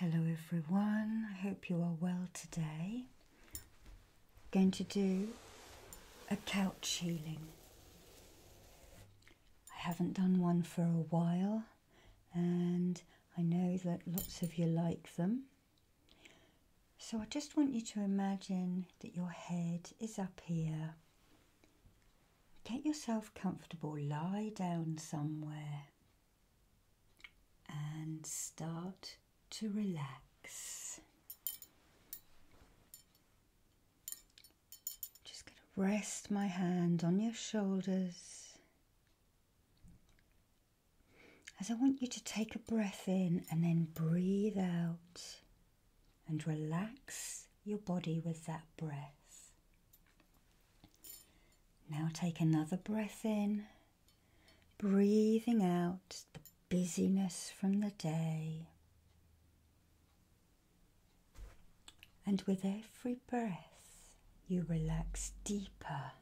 Hello everyone, I hope you are well today. I'm going to do a couch healing. I haven't done one for a while and I know that lots of you like them. So I just want you to imagine that your head is up here Get yourself comfortable, lie down somewhere, and start to relax. Just going to rest my hand on your shoulders as I want you to take a breath in and then breathe out and relax your body with that breath. Now take another breath in, breathing out the busyness from the day. And with every breath, you relax deeper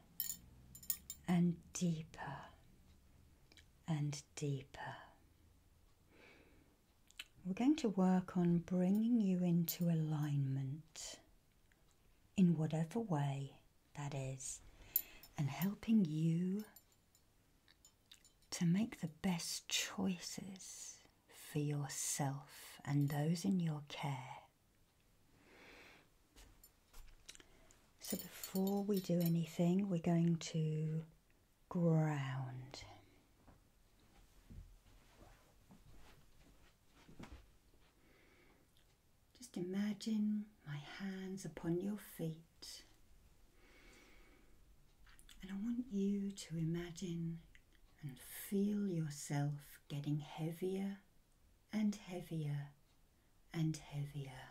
and deeper and deeper. We're going to work on bringing you into alignment in whatever way that is and helping you to make the best choices for yourself and those in your care. So, before we do anything, we're going to ground. Just imagine my hands upon your feet, and I want you to imagine and feel yourself getting heavier and heavier and heavier.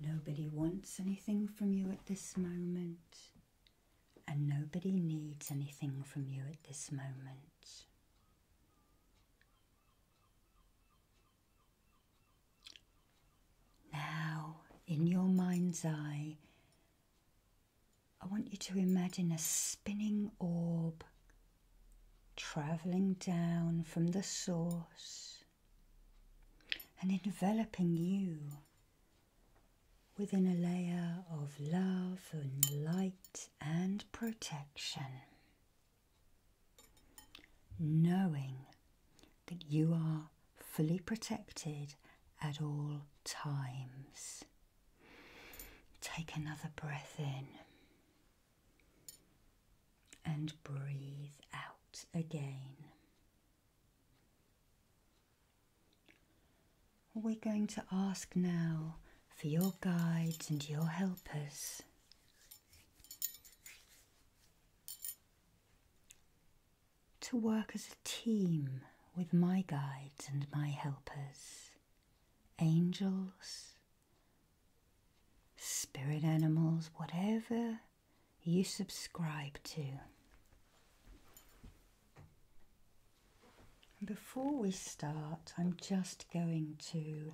Nobody wants anything from you at this moment, and nobody needs anything from you at this moment. Now, in your mind's eye, I want you to imagine a spinning orb travelling down from the source and enveloping you within a layer of love and light and protection, knowing that you are fully protected at all times. Take another breath in and breathe out again. We're going to ask now for your guides and your helpers. To work as a team with my guides and my helpers, angels, spirit animals, whatever you subscribe to. before we start, I'm just going to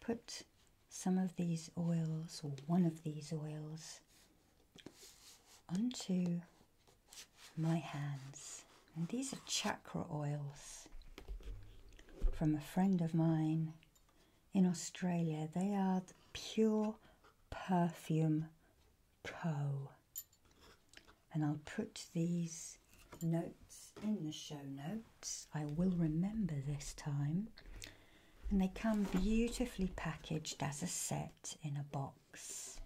put some of these oils, or one of these oils, onto my hands. And these are chakra oils from a friend of mine in Australia. They are the Pure Perfume Co. And I'll put these notes in the show notes. I will remember this time. And they come beautifully packaged as a set in a box.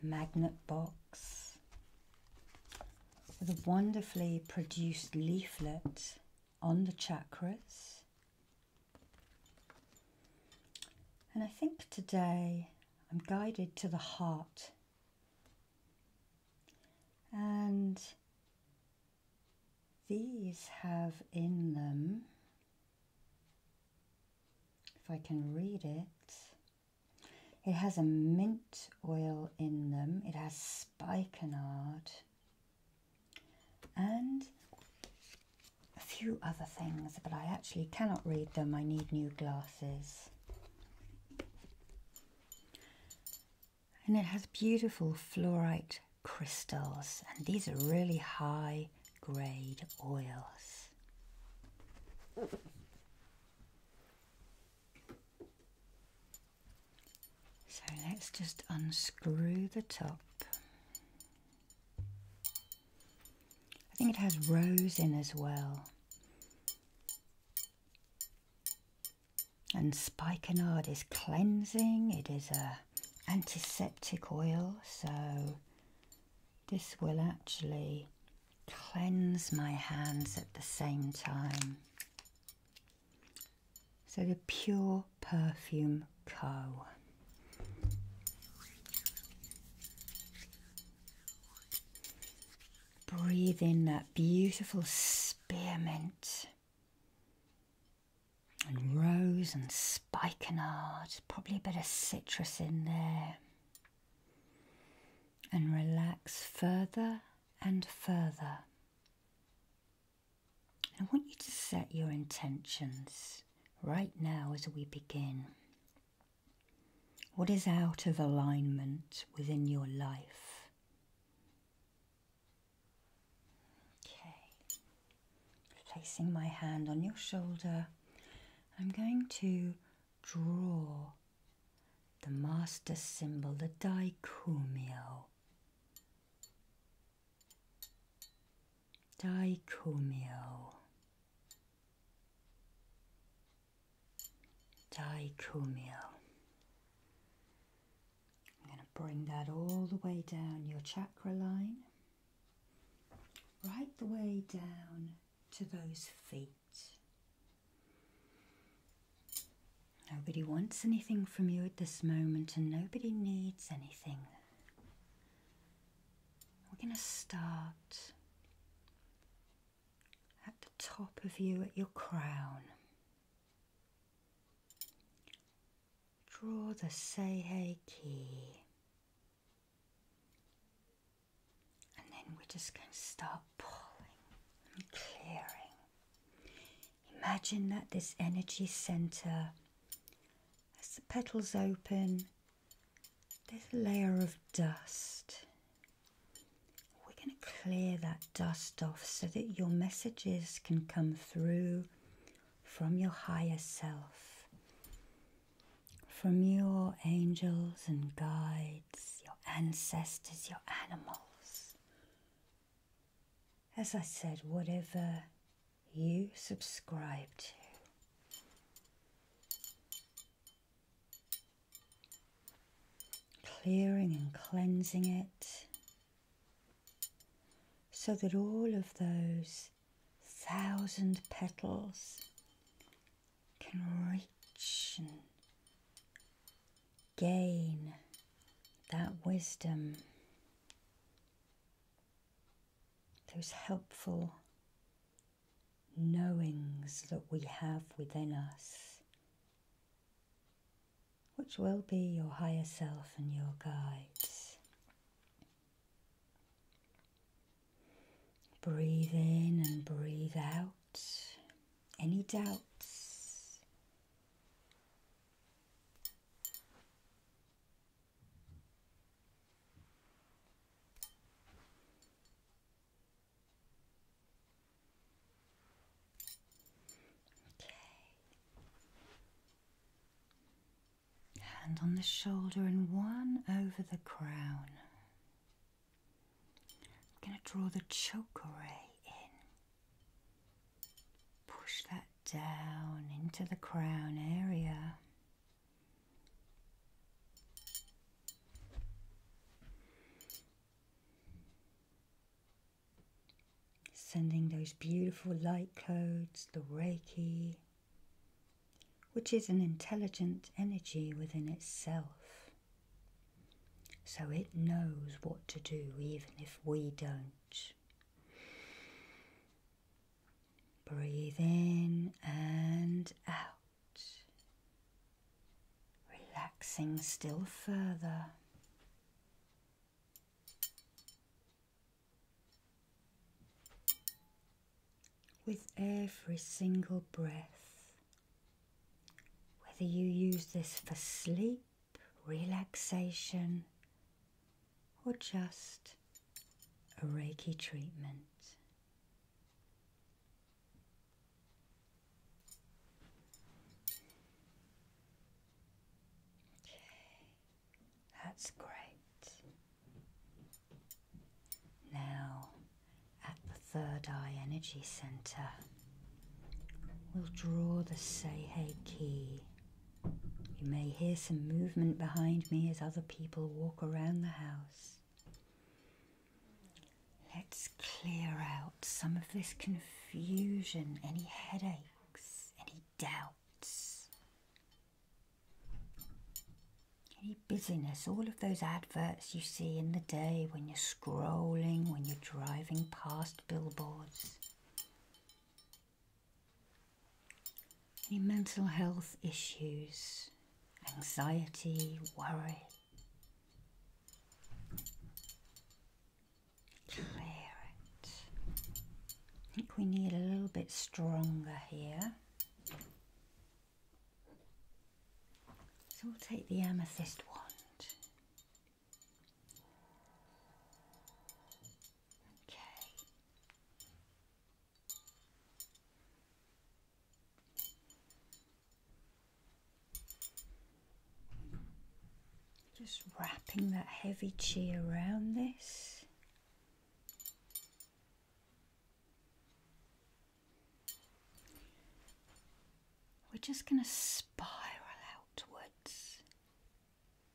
Magnet box with a wonderfully produced leaflet on the chakras and I think today I'm guided to the heart. And these have in them, if I can read it, it has a mint oil in them, it has spikenard, and a few other things, but I actually cannot read them. I need new glasses. And it has beautiful fluorite crystals, and these are really high grade oils. So let's just unscrew the top. I think it has rose in as well. And spikenard is cleansing, it is a antiseptic oil, so this will actually cleanse my hands at the same time. So the Pure Perfume Co. Breathe in that beautiful spearmint and rose and spikenard, probably a bit of citrus in there. And relax further and further. I want you to set your intentions right now as we begin. What is out of alignment within your life? Okay, placing my hand on your shoulder, I'm going to draw the master symbol, the daikumio, Dicomio. Dicomio. I'm going to bring that all the way down your chakra line, right the way down to those feet. Nobody wants anything from you at this moment, and nobody needs anything. We're going to start at the top of you, at your crown. Draw the Seihei key. And then we're just going to start pulling and clearing. Imagine that this energy center, as the petals open, there's a layer of dust. We're going to clear that dust off so that your messages can come through from your higher self, from your angels and guides, your ancestors, your animals as I said, whatever you subscribe to. Clearing and cleansing it so that all of those thousand petals can reach and gain that wisdom those helpful knowings that we have within us, which will be your higher self and your guides. Breathe in and breathe out any doubts Okay. Hand on the shoulder and one over the crown. I'm going to draw the choke array in. Push that down into the crown area. Sending those beautiful light codes, the Reiki, which is an intelligent energy within itself. So it knows what to do even if we don't. Breathe in and out, relaxing still further. With every single breath, whether you use this for sleep relaxation, or just a Reiki treatment. Okay, that's great. Now, at the Third Eye Energy Center, we'll draw the Seihei Key you may hear some movement behind me as other people walk around the house. Let's clear out some of this confusion, any headaches, any doubts, any busyness, all of those adverts you see in the day when you're scrolling, when you're driving past billboards. Any mental health issues, anxiety, worry? Clear it. I think we need a little bit stronger here. So we'll take the amethyst wand Okay. Just wrapping that heavy chi around this. We're just going to spiral outwards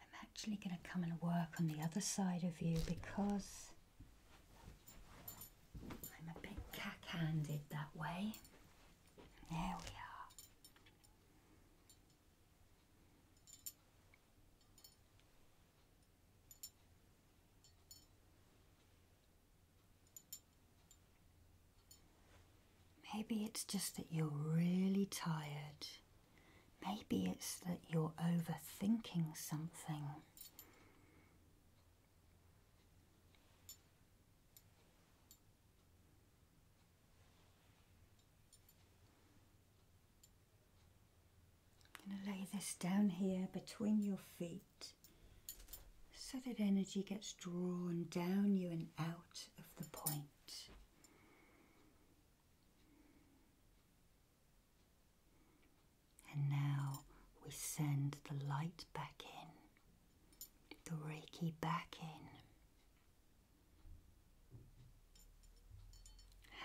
I'm actually going to come and work on the other side of you because I'm a bit cack-handed that way. There we are. Maybe it's just that you're really tired. Maybe it's that you're overthinking something. I'm going to lay this down here between your feet so that energy gets drawn down you and out of the point. And now we send the light back in, the Reiki back in.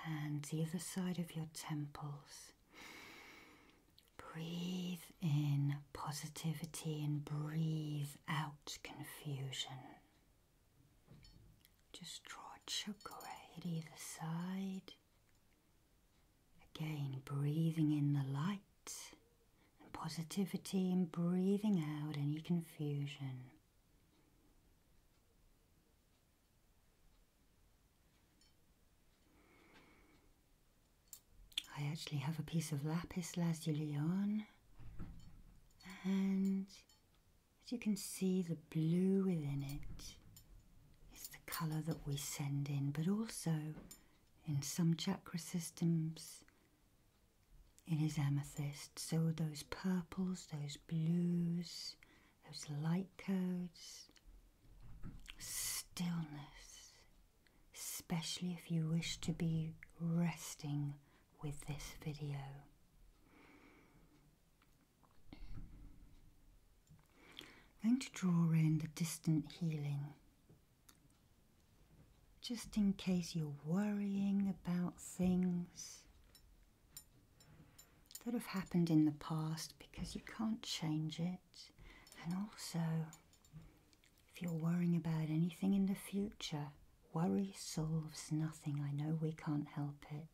Hands either side of your temples. Breathe in positivity and breathe out confusion. Just draw a chakra either side. Again, breathing in the light and positivity, and breathing out any confusion. I actually have a piece of lapis lazuli on and as you can see, the blue within it is the colour that we send in, but also in some chakra systems, it is amethyst. So, those purples, those blues, those light codes, stillness, especially if you wish to be resting with this video. I'm going to draw in the distant healing just in case you're worrying about things that have happened in the past because you can't change it and also if you're worrying about anything in the future, worry solves nothing. I know we can't help it.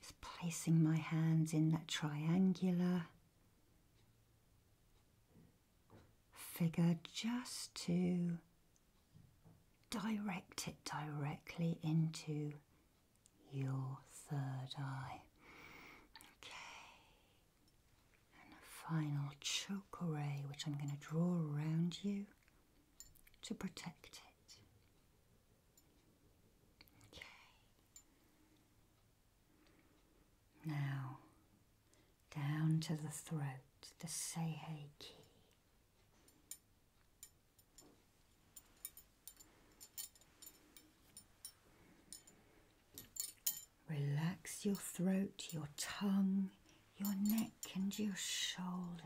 Just placing my hands in that triangular figure just to direct it directly into your third eye. Okay. And a final choke array, which I'm going to draw around you to protect it. Okay. Now, down to the throat, the Seihei key. Relax your throat, your tongue, your neck, and your shoulders.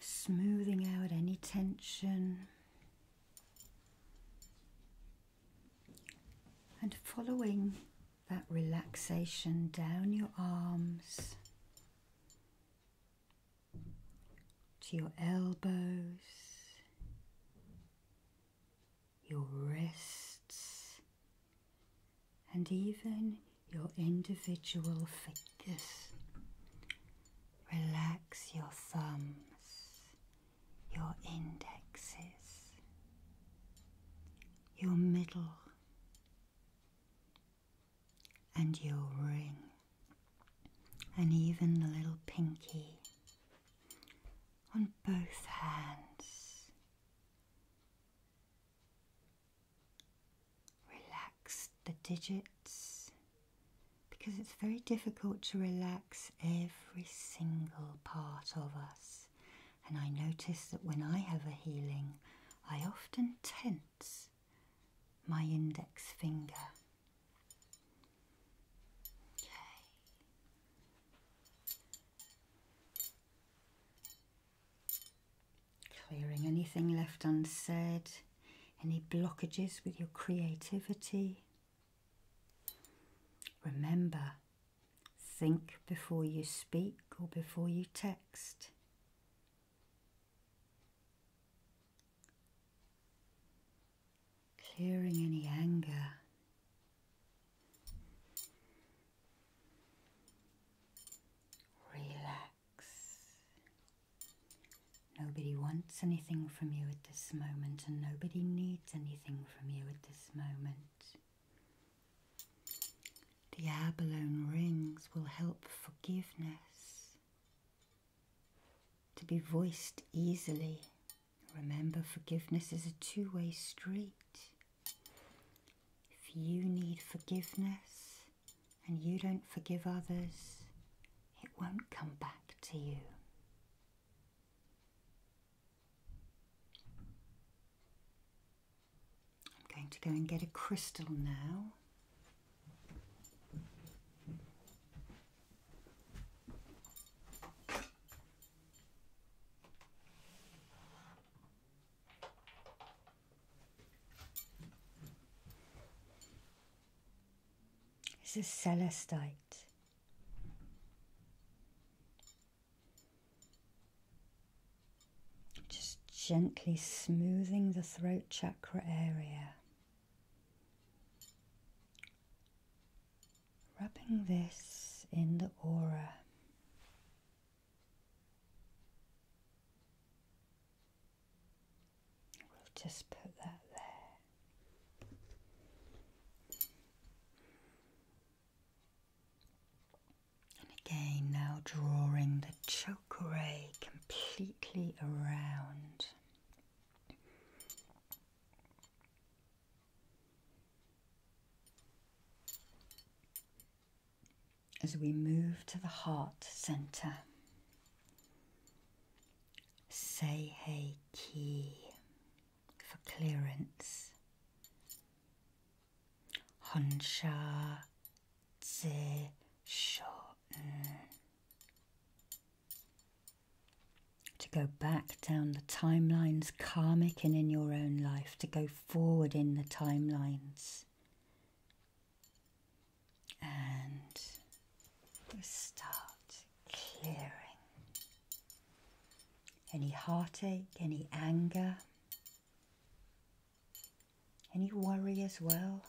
Smoothing out any tension. And following that relaxation down your arms to your elbows your wrists, and even your individual fingers. Relax your thumbs, your indexes, your middle, and your ring, and even the little pinky on both hands. Relax the digits because it's very difficult to relax every single part of us. And I notice that when I have a healing, I often tense my index finger. Okay. Clearing anything left unsaid, any blockages with your creativity. Remember, think before you speak or before you text clearing any anger. Relax. Nobody wants anything from you at this moment, and nobody needs anything from you at this moment. The abalone rings will help forgiveness to be voiced easily Remember, forgiveness is a two way street. If you need forgiveness and you don't forgive others, it won't come back to you. I'm going to go and get a crystal now. This is celestite. Just gently smoothing the throat chakra area. Rubbing this in the aura. We'll just put that there. And again, now drawing the choke completely around. As we move to the heart center, say hey Ki" for clearance. Honsha Tse Shoten to go back down the timelines karmic and in your own life, to go forward in the timelines. And start clearing any heartache, any anger, any worry as well.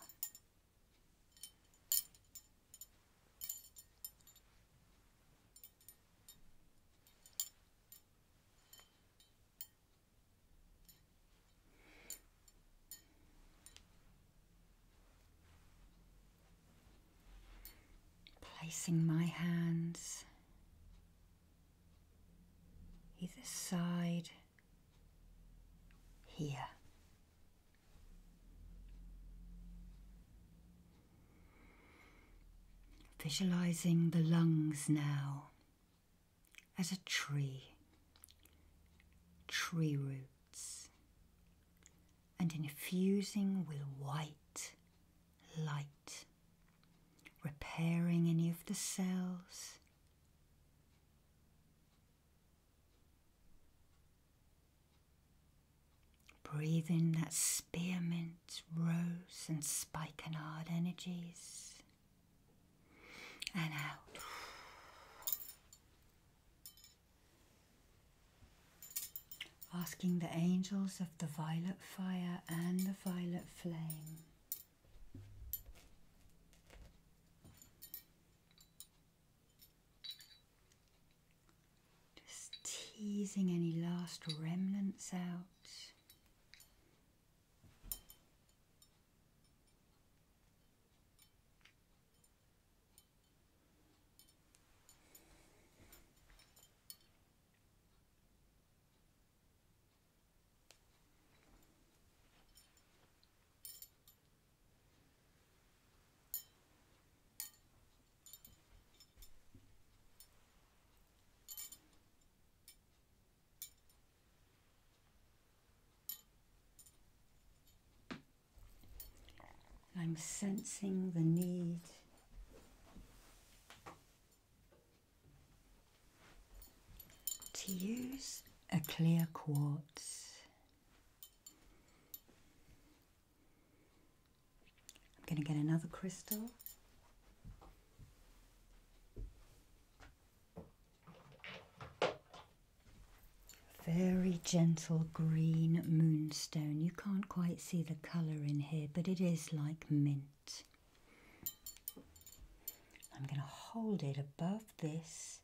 Placing my hands either side here Visualizing the lungs now as a tree, tree roots, and infusing with white light, repairing any of the cells. Breathe in that spearmint, rose, and spikenard energies. And out. Asking the angels of the violet fire and the violet flame. Just teasing any last remnants out. I'm sensing the need to use a clear quartz I'm going to get another crystal. Very gentle green moonstone. You can't quite see the colour in here, but it is like mint. I'm going to hold it above this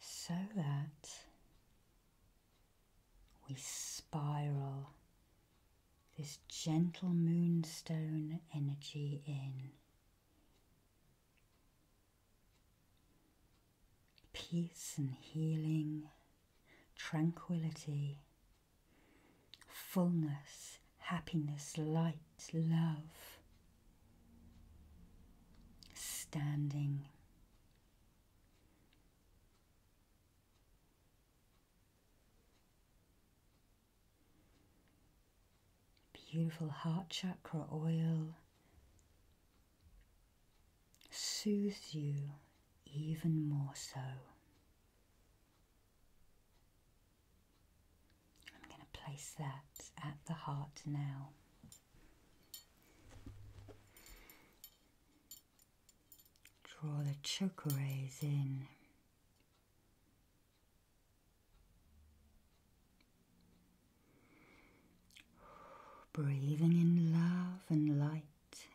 so that we spiral this gentle moonstone energy in. Peace and healing, tranquility, fullness, happiness, light, love. Standing Beautiful heart chakra oil soothes you even more so. I'm going to place that at the heart now. Draw the choke rays in. Breathing in love and light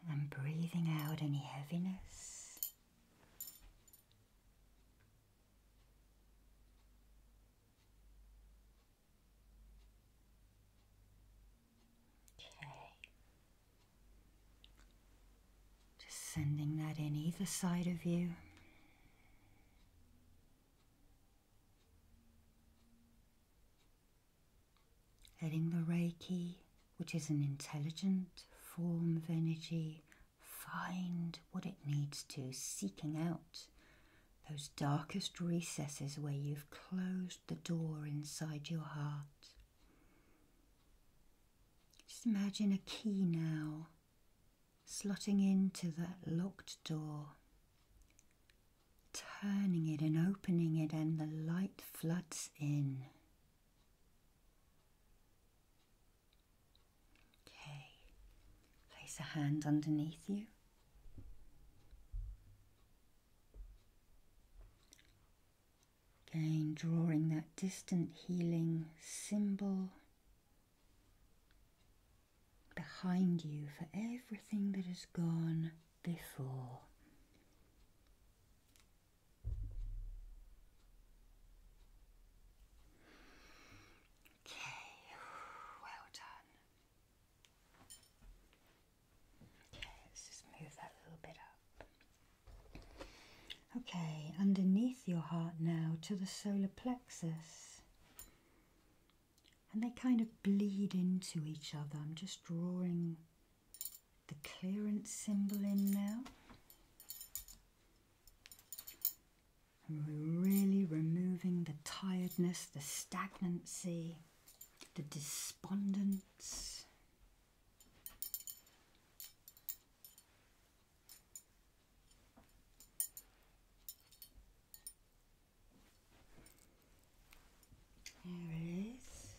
and breathing out any heaviness. Okay. Just sending that in either side of you. Letting the Reiki, which is an intelligent form of energy, find what it needs to, seeking out those darkest recesses where you've closed the door inside your heart. Just imagine a key now slotting into that locked door, turning it and opening it, and the light floods in. Okay, place a hand underneath you. Again, drawing that distant healing symbol behind you for everything that has gone before. Okay, well done. Okay, let's just move that little bit up. Okay, underneath your heart now to the solar plexus. And they kind of bleed into each other. I'm just drawing the clearance symbol in now. And we're really removing the tiredness, the stagnancy the despondence. There it is.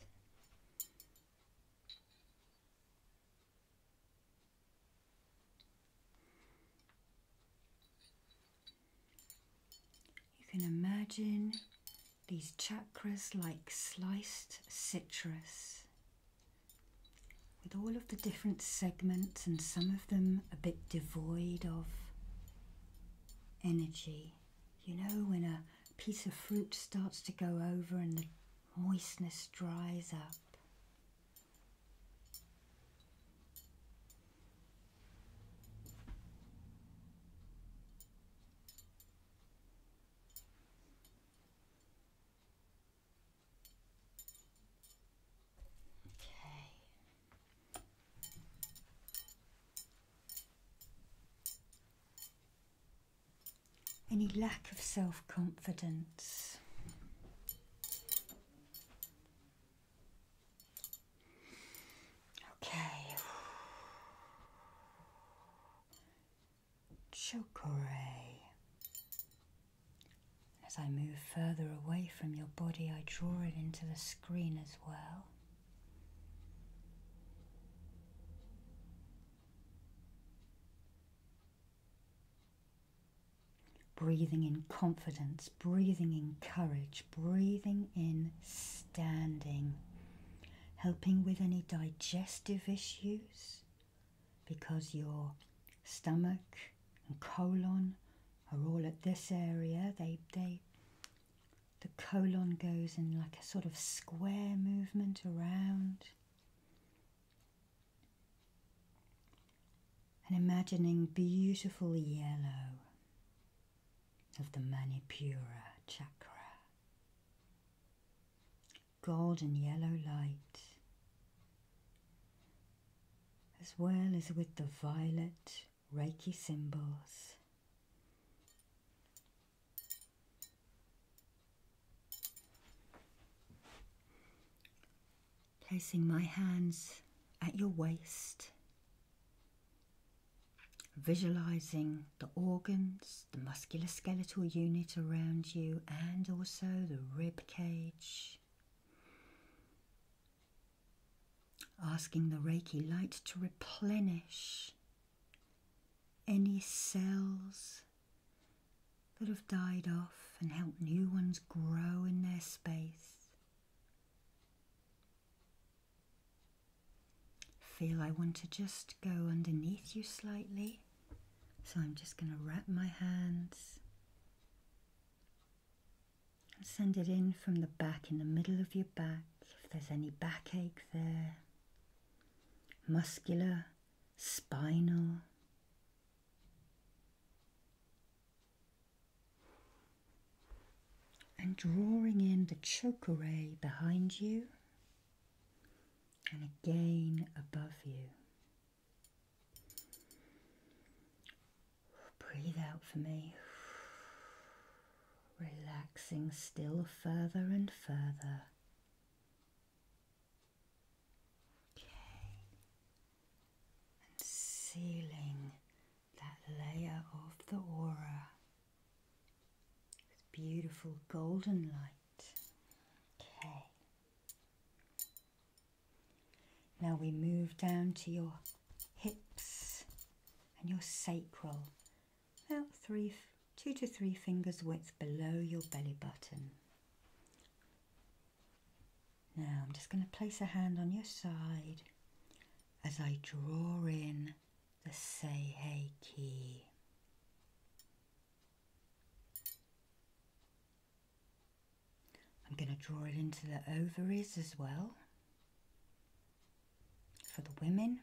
You can imagine these chakras like sliced citrus with all of the different segments and some of them a bit devoid of energy. You know, when a piece of fruit starts to go over and the moistness dries up any lack of self confidence. Okay. Chokeray. As I move further away from your body, I draw it into the screen as well. Breathing in confidence, breathing in courage breathing in standing, helping with any digestive issues because your stomach and colon are all at this area. They, they, the colon goes in like a sort of square movement around. And imagining beautiful yellow of the Manipura chakra. Golden yellow light, as well as with the violet Reiki symbols. Placing my hands at your waist visualizing the organs, the musculoskeletal unit around you, and also the rib cage. Asking the Reiki light to replenish any cells that have died off and help new ones grow in their space. Feel I want to just go underneath you slightly. So I'm just going to wrap my hands and send it in from the back, in the middle of your back, if there's any backache there, muscular, spinal and drawing in the choke array behind you and again above you. Breathe out for me, relaxing still further and further. Okay, and sealing that layer of the aura with beautiful golden light. Okay. Now we move down to your hips and your sacral, about three, two to three fingers width below your belly button. Now I'm just going to place a hand on your side as I draw in the say hey key. I'm going to draw it into the ovaries as well for the women.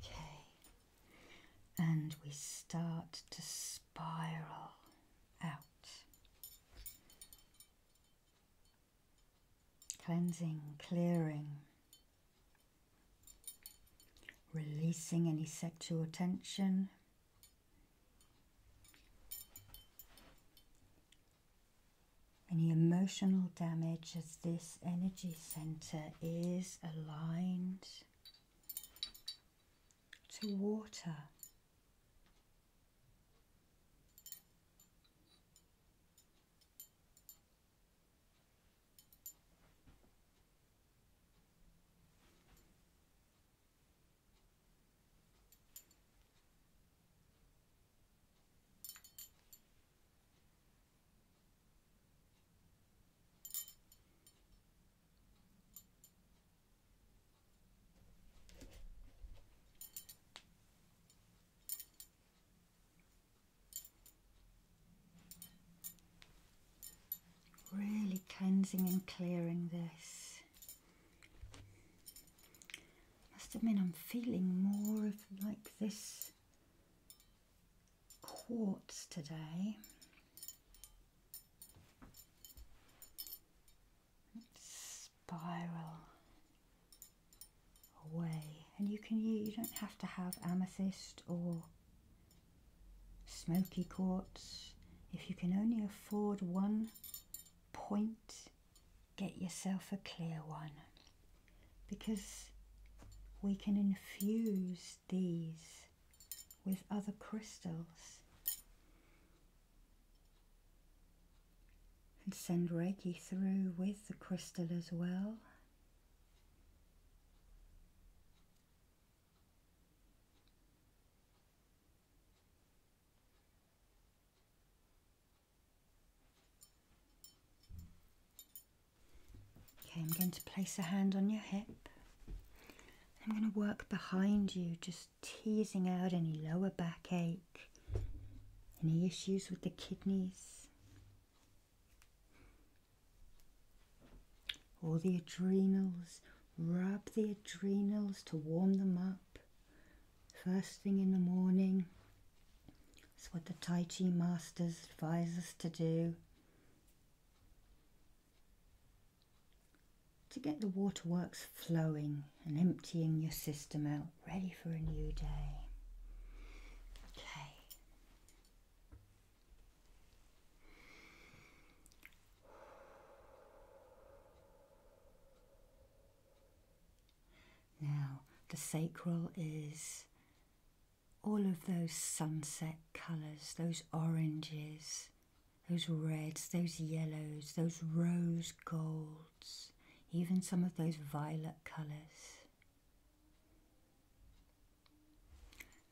Okay, and we start to spiral out. Cleansing, clearing, releasing any sexual tension any emotional damage as this energy center is aligned to water. Really cleansing and clearing this. Must admit, I'm feeling more of like this quartz today. spiral away, and you can you don't have to have amethyst or smoky quartz. If you can only afford one point get yourself a clear one because we can infuse these with other crystals and send Reiki through with the crystal as well. Okay, I'm going to place a hand on your hip. I'm going to work behind you, just teasing out any lower back ache, any issues with the kidneys, or the adrenals. Rub the adrenals to warm them up first thing in the morning. It's what the Tai Chi masters advise us to do. To get the waterworks flowing and emptying your system out, ready for a new day. Okay. Now, the sacral is all of those sunset colours, those oranges, those reds, those yellows, those rose golds, even some of those violet colours.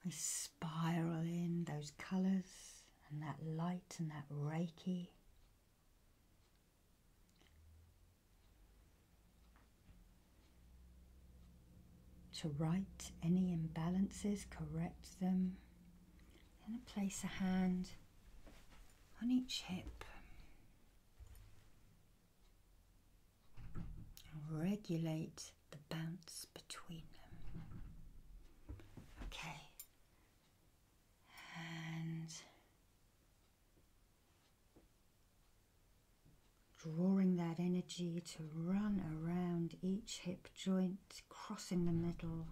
We spiral in those colours and that light and that reiki. To right any imbalances, correct them, and place a hand on each hip. And regulate the bounce between them. Okay. And Drawing that energy to run around each hip joint, crossing the middle,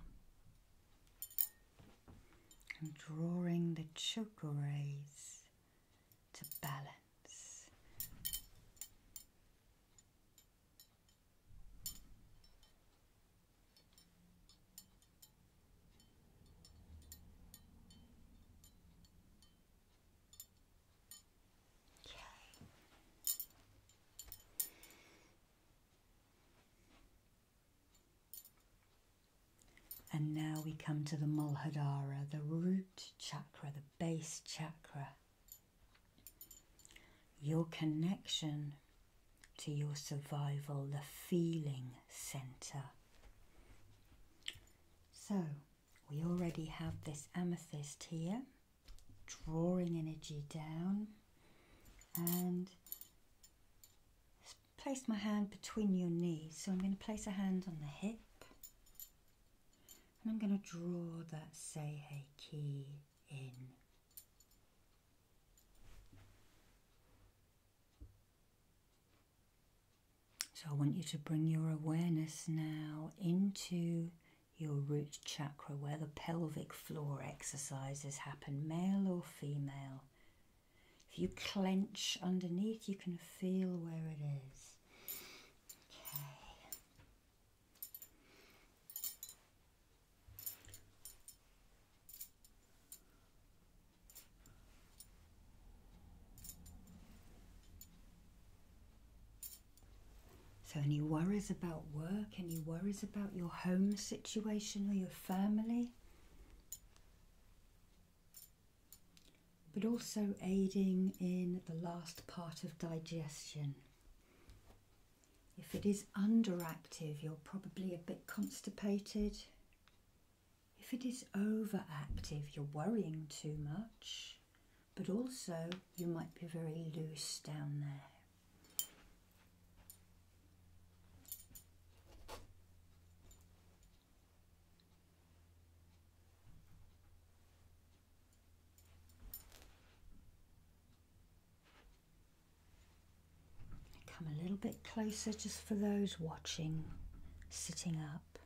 and drawing the chakra rays to balance. Okay. And now we come to the Muladhara, the root chakra, the base chakra. Your connection to your survival, the feeling center. So we already have this amethyst here, drawing energy down, and place my hand between your knees. So I'm going to place a hand on the hip, and I'm going to draw that Seihei Ki in. So I want you to bring your awareness now into your root chakra where the pelvic floor exercises happen, male or female. If you clench underneath, you can feel where it is. Okay. So, any worries about work, any worries about your home situation or your family, but also aiding in the last part of digestion. If it is underactive, you're probably a bit constipated, if it is overactive, you're worrying too much, but also you might be very loose down there. Come a little bit closer just for those watching, sitting up.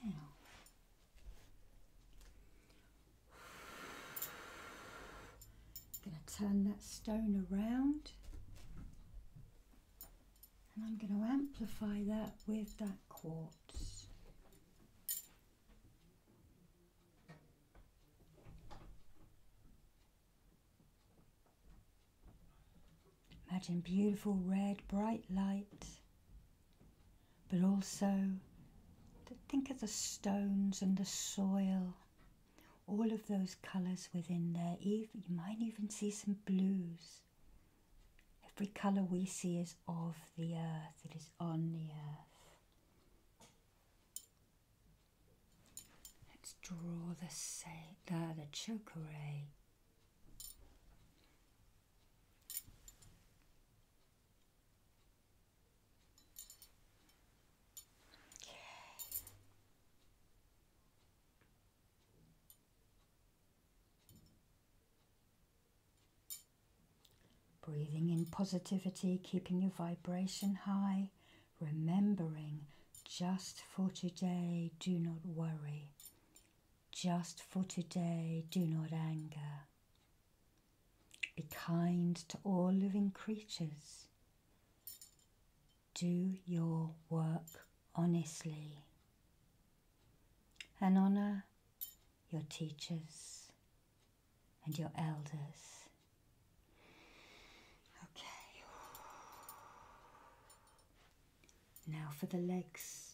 Okay. Now. I'm going to turn that stone around and I'm going to amplify that with that quartz. Imagine beautiful red, bright light, but also think of the stones and the soil, all of those colours within there. Even, you might even see some blues Every colour we see is of the earth, it is on the earth. Let's draw the, uh, the choke array. Breathing in positivity, keeping your vibration high, remembering just for today, do not worry. Just for today, do not anger. Be kind to all living creatures. Do your work honestly and honor your teachers and your elders. Okay. Now for the legs.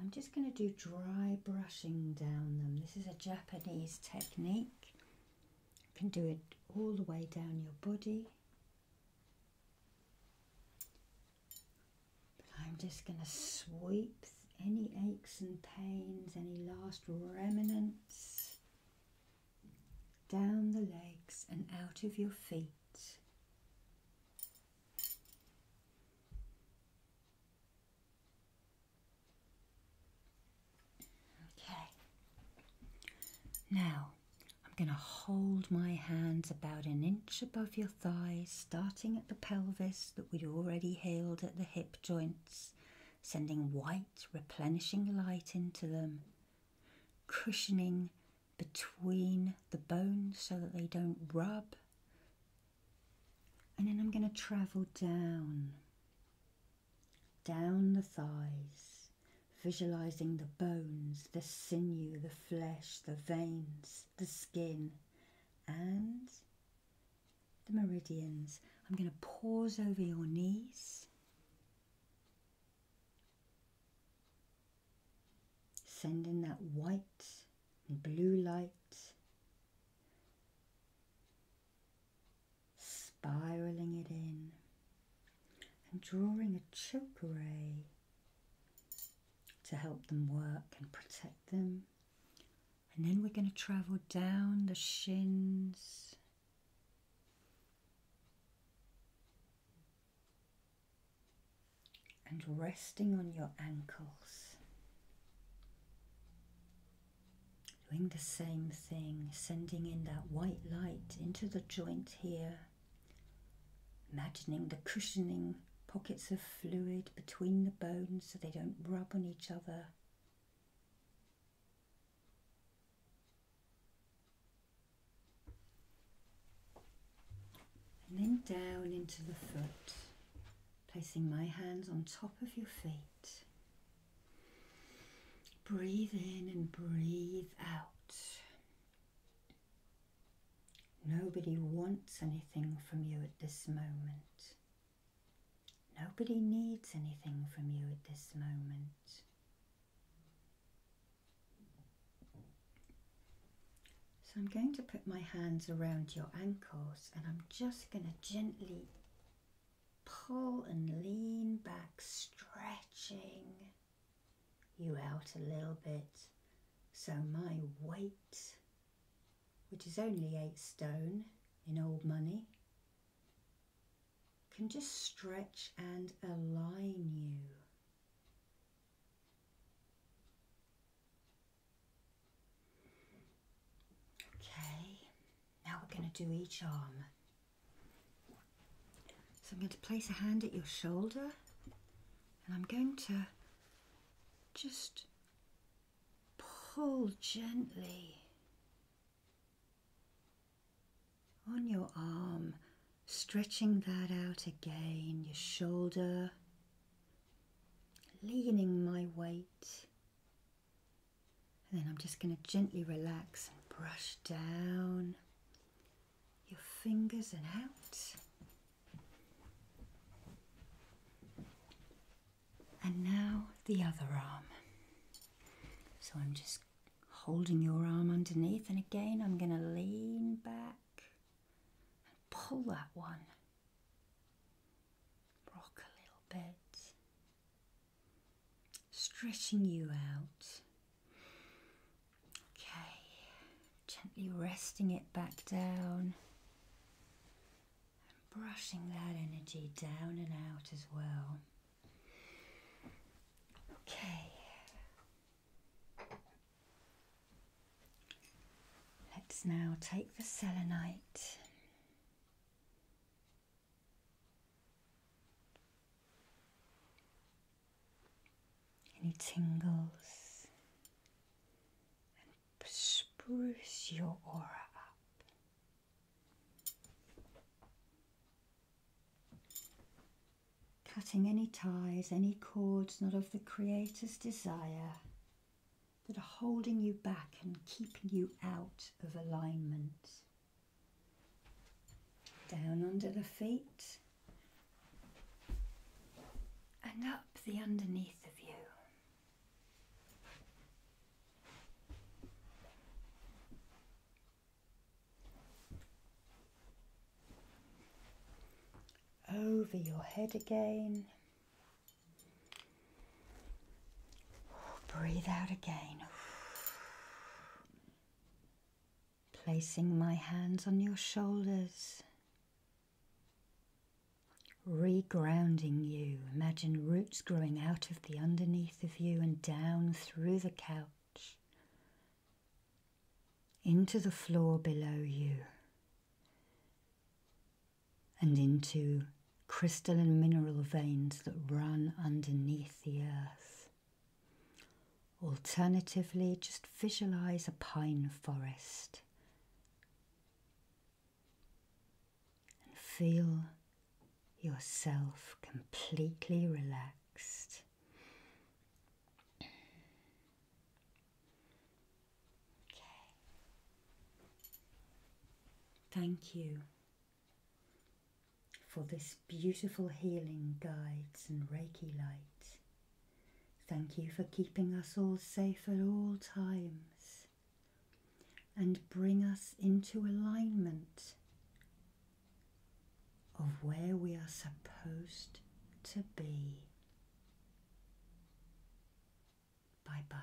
I'm just going to do dry brushing down them. This is a Japanese technique. You can do it all the way down your body. I'm just going to sweep any aches and pains, any last remnants down the legs and out of your feet. Okay, now I'm going to hold my hands about an inch above your thighs, starting at the pelvis that we'd already healed at the hip joints, sending white, replenishing light into them, cushioning between the bones so that they don't rub. And then I'm going to travel down, down the thighs, visualizing the bones, the sinew, the flesh, the veins the skin and the meridians. I'm going to pause over your knees. Sending that white and blue light spiraling it in and drawing a choke array to help them work and protect them. And then we're going to travel down the shins. And resting on your ankles. Doing the same thing, sending in that white light into the joint here. Imagining the cushioning pockets of fluid between the bones so they don't rub on each other. And then down into the foot, placing my hands on top of your feet. Breathe in and breathe out. Nobody wants anything from you at this moment. Nobody needs anything from you at this moment. So I'm going to put my hands around your ankles and I'm just going to gently pull and lean back, stretching you out a little bit so my weight which is only eight stone in old money, can just stretch and align you. Okay, now we're going to do each arm. So I'm going to place a hand at your shoulder and I'm going to just pull gently on your arm, stretching that out again, your shoulder, leaning my weight. And then I'm just going to gently relax and brush down your fingers and out. And now the other arm. So I'm just holding your arm underneath, and again, I'm going to lean back and pull that one. Rock a little bit, stretching you out. Okay, gently resting it back down and brushing that energy down and out as well. Okay, let's now take the selenite any tingles and spruce your aura up. Cutting any ties, any cords not of the Creator's desire that are holding you back and keeping you out of alignment. Down under the feet and up the underneath of you. Over your head again. Breathe out again. Placing my hands on your shoulders Regrounding you. Imagine roots growing out of the underneath of you and down through the couch, into the floor below you, and into crystalline mineral veins that run underneath the earth. Alternatively, just visualize a pine forest and feel yourself completely relaxed. Okay. Thank you for this beautiful healing guides and Reiki light. Thank you for keeping us all safe at all times and bring us into alignment of where we are supposed to be. Bye bye.